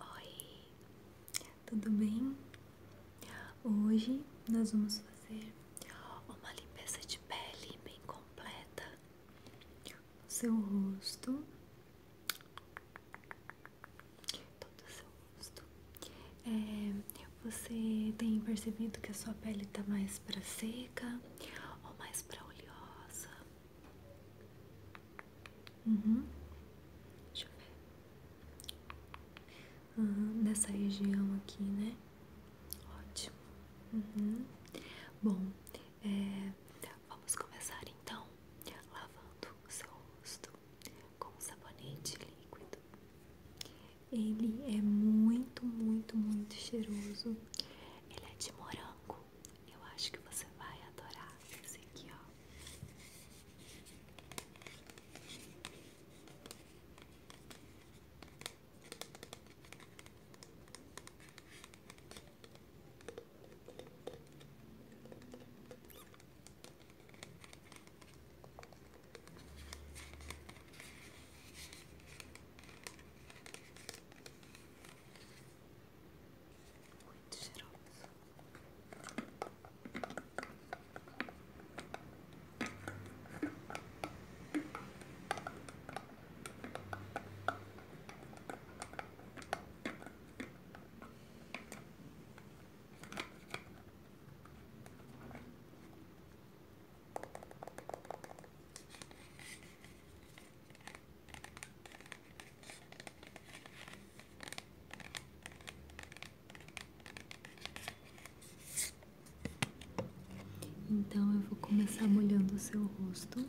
Oi, tudo bem? Hoje nós vamos fazer uma limpeza de pele bem completa no seu rosto, todo o seu rosto. É, você tem percebido que a sua pele está mais para seca ou mais para oleosa? Uhum. Deixa eu ver. nessa região aqui, né? Ótimo. Uhum. Bom, é, vamos começar então lavando o seu rosto com um sabonete líquido. Ele é muito, muito, muito cheiroso. Ele é de morango eu acho que você vai adorar esse aqui, ó. Muito cheiroso. Então eu vou começar molhando o seu rosto.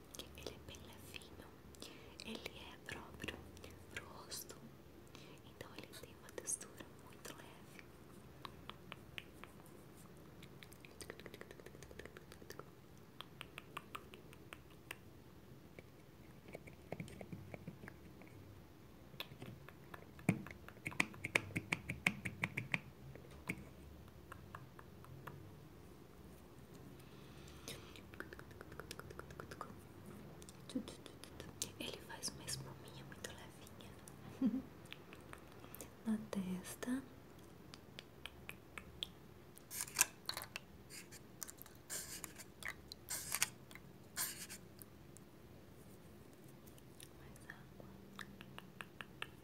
ele é bem levinho, ele é próprio pro rosto, então ele tem uma textura muito leve. Ele faz uma espuminha muito levinha na testa. Mais água.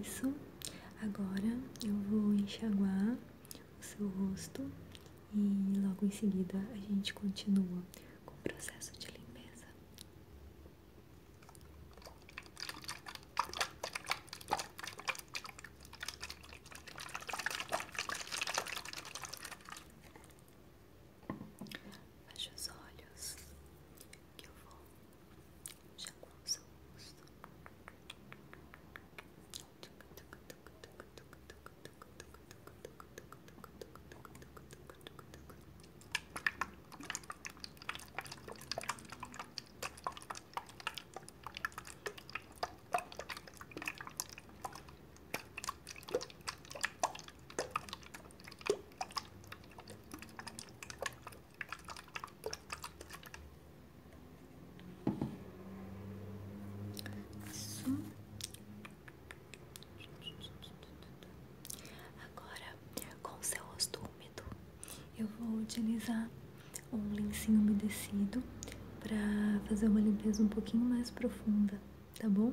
Isso. Agora eu vou enxaguar o seu rosto e logo em seguida a gente continua com o processo de limpeza. Feche os olhos que eu vou já com o seu rosto. Relaxa isso. Agora, com o seu rosto úmido, eu vou utilizar um lencinho umedecido para fazer uma limpeza um pouquinho mais profunda, tá bom?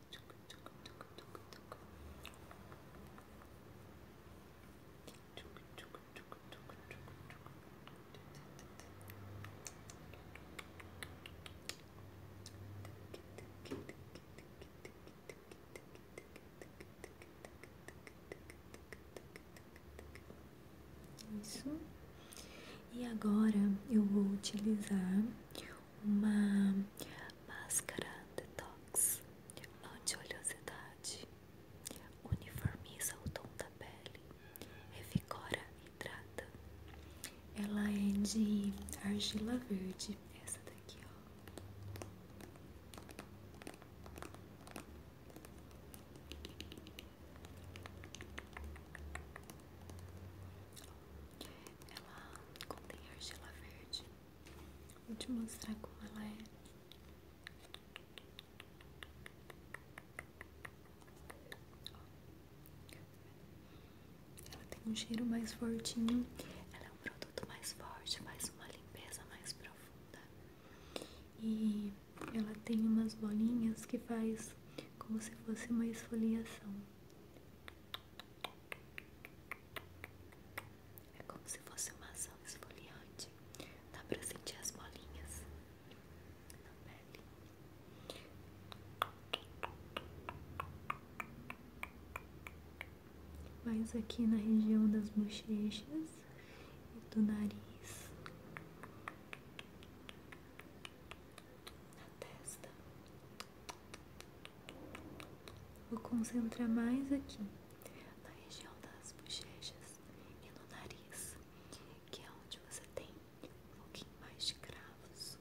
Isso. E agora eu vou utilizar uma máscara detox, anti olhosidade, uniformiza o tom da pele, revigora e hidrata. Ela é de argila verde, essa daqui, ó. Ela contém argila verde. Vou te mostrar como ela é. Ela tem um cheiro mais fortinho. Ela é um produto mais forte, faz uma limpeza mais profunda. E ela tem umas bolinhas que faz como se fosse uma esfoliação. É como se fosse uma ação esfoliante. Dá pra sentir as bolinhas na pele. Mais aqui na região das bochechas e do nariz na testa. Vou concentrar mais aqui na região das bochechas e no nariz, que é onde você tem um pouquinho mais de cravos.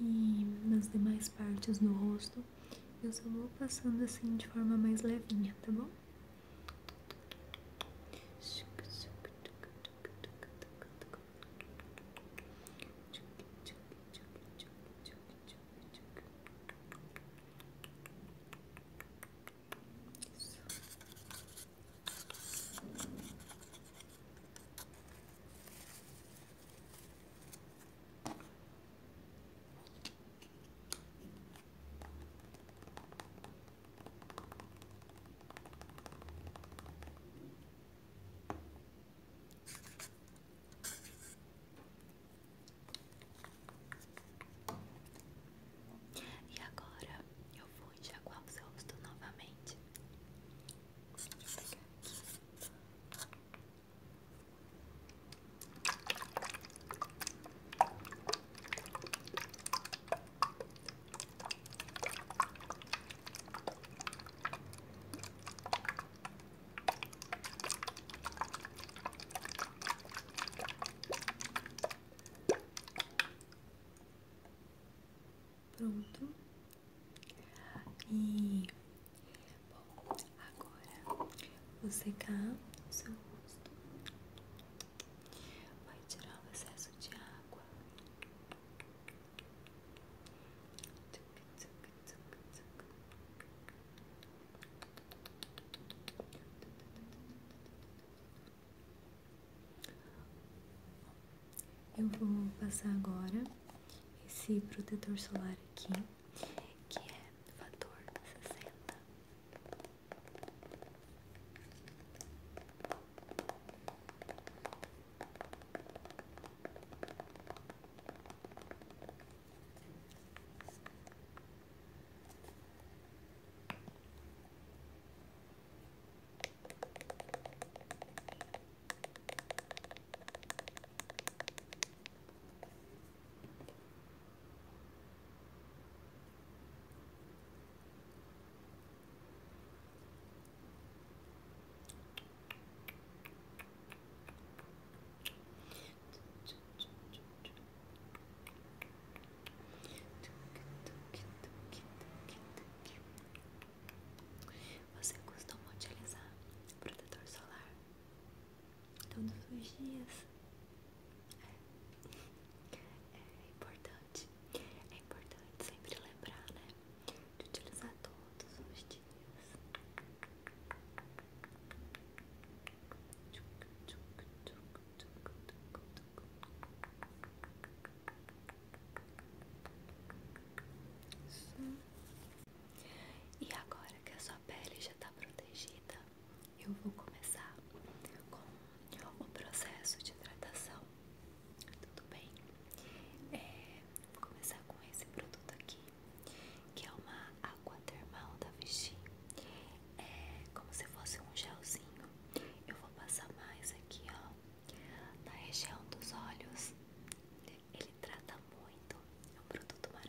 E nas demais partes do rosto eu só vou passando assim de forma mais levinha, tá bom? Isso. E agora eu vou enxaguar o seu rosto novamente. Pronto. E Bom, agora vou secar o seu rosto. Vai tirar o excesso de água. Eu vou passar agora esse protetor solar aqui que é fator 60. Você costuma utilizar protetor solar? todos os dias. É, é importante, é importante sempre lembrar, né? De utilizar todos os dias. Só e agora que a sua pele já está protegida, eu vou começar com o processo de hidratação. Tudo bem? É, vou começar com esse produto aqui, que é uma água termal da Vichy. É como se fosse um gelzinho. Eu vou passar mais aqui, ó, na região dos olhos. Ele trata muito, é um produto maravilhoso.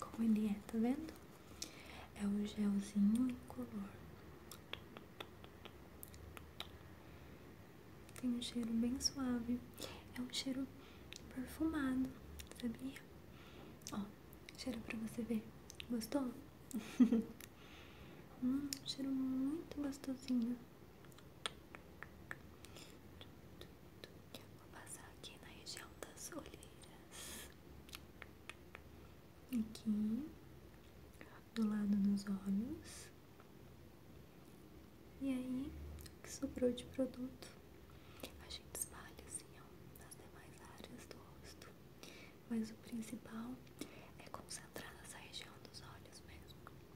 Como ele é, tá vendo? É o gelzinho incolor. Tem um cheiro bem suave. É um cheiro perfumado, sabia? Ó, cheiro pra você ver. Gostou? hum, cheiro muito gostosinho. Vou passar aqui na região das olheiras. Aqui, do lado dos olhos. E aí, o que sobrou de produto? A gente espalha assim, ó, nas demais áreas do rosto. Mas o principal é concentrar nessa região dos olhos mesmo.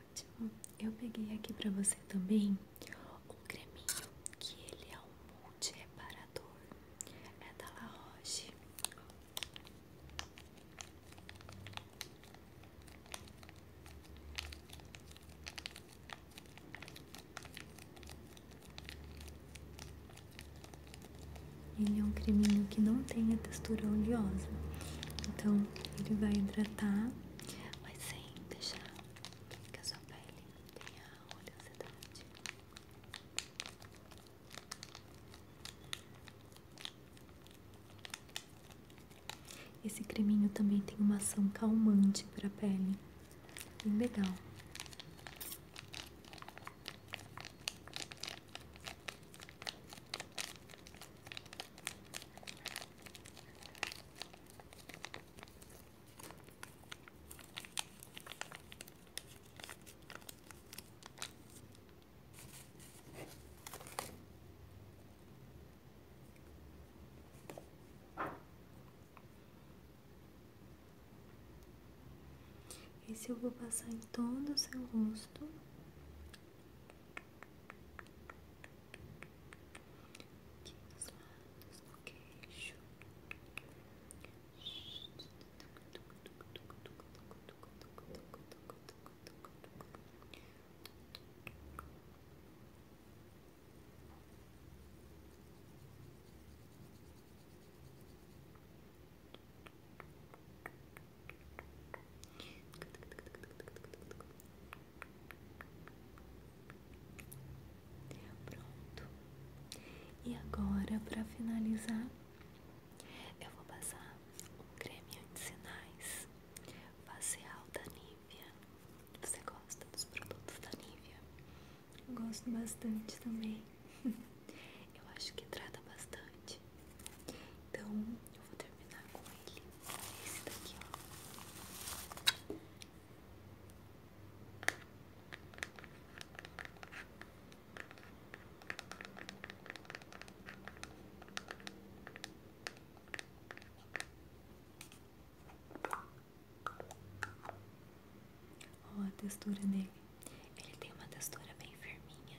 Ótimo. Eu peguei aqui para você também um creminho que ele é um multi-reparador. É da La Roche. Ele é um creminho que não tem a textura oleosa, então ele vai hidratar, mas sem deixar que a sua pele tenha oleosidade. Esse creminho também tem uma ação calmante para a pele, bem legal. E se eu vou passar em todo o seu rosto Okay, this one is okay. Shoot. Okay. Pronto. E agora, para finalizar, eu vou passar um creme anti-sinais facial da Nivea. Você gosta dos produtos da Nivea? Eu gosto bastante também. Eu acho que trata bastante. Então eu vou terminar com ele. Esse daqui, ó. Ó, a textura dele. Ele tem uma textura bem firminha,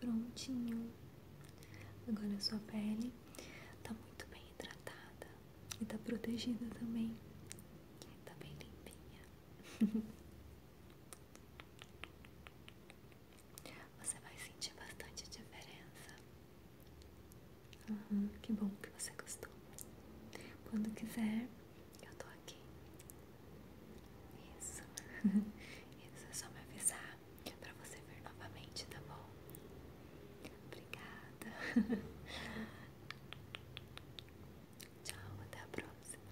Prontinho. Agora a sua pele tá muito bem hidratada e tá protegida também. Tá bem limpinha. Você vai sentir bastante diferença. Uhum, que bom que você gostou. Quando quiser, eu tô aqui. Isso. Isso é só me avisar pra você vir novamente, tá bom? Obrigada. Tchau, até a próxima.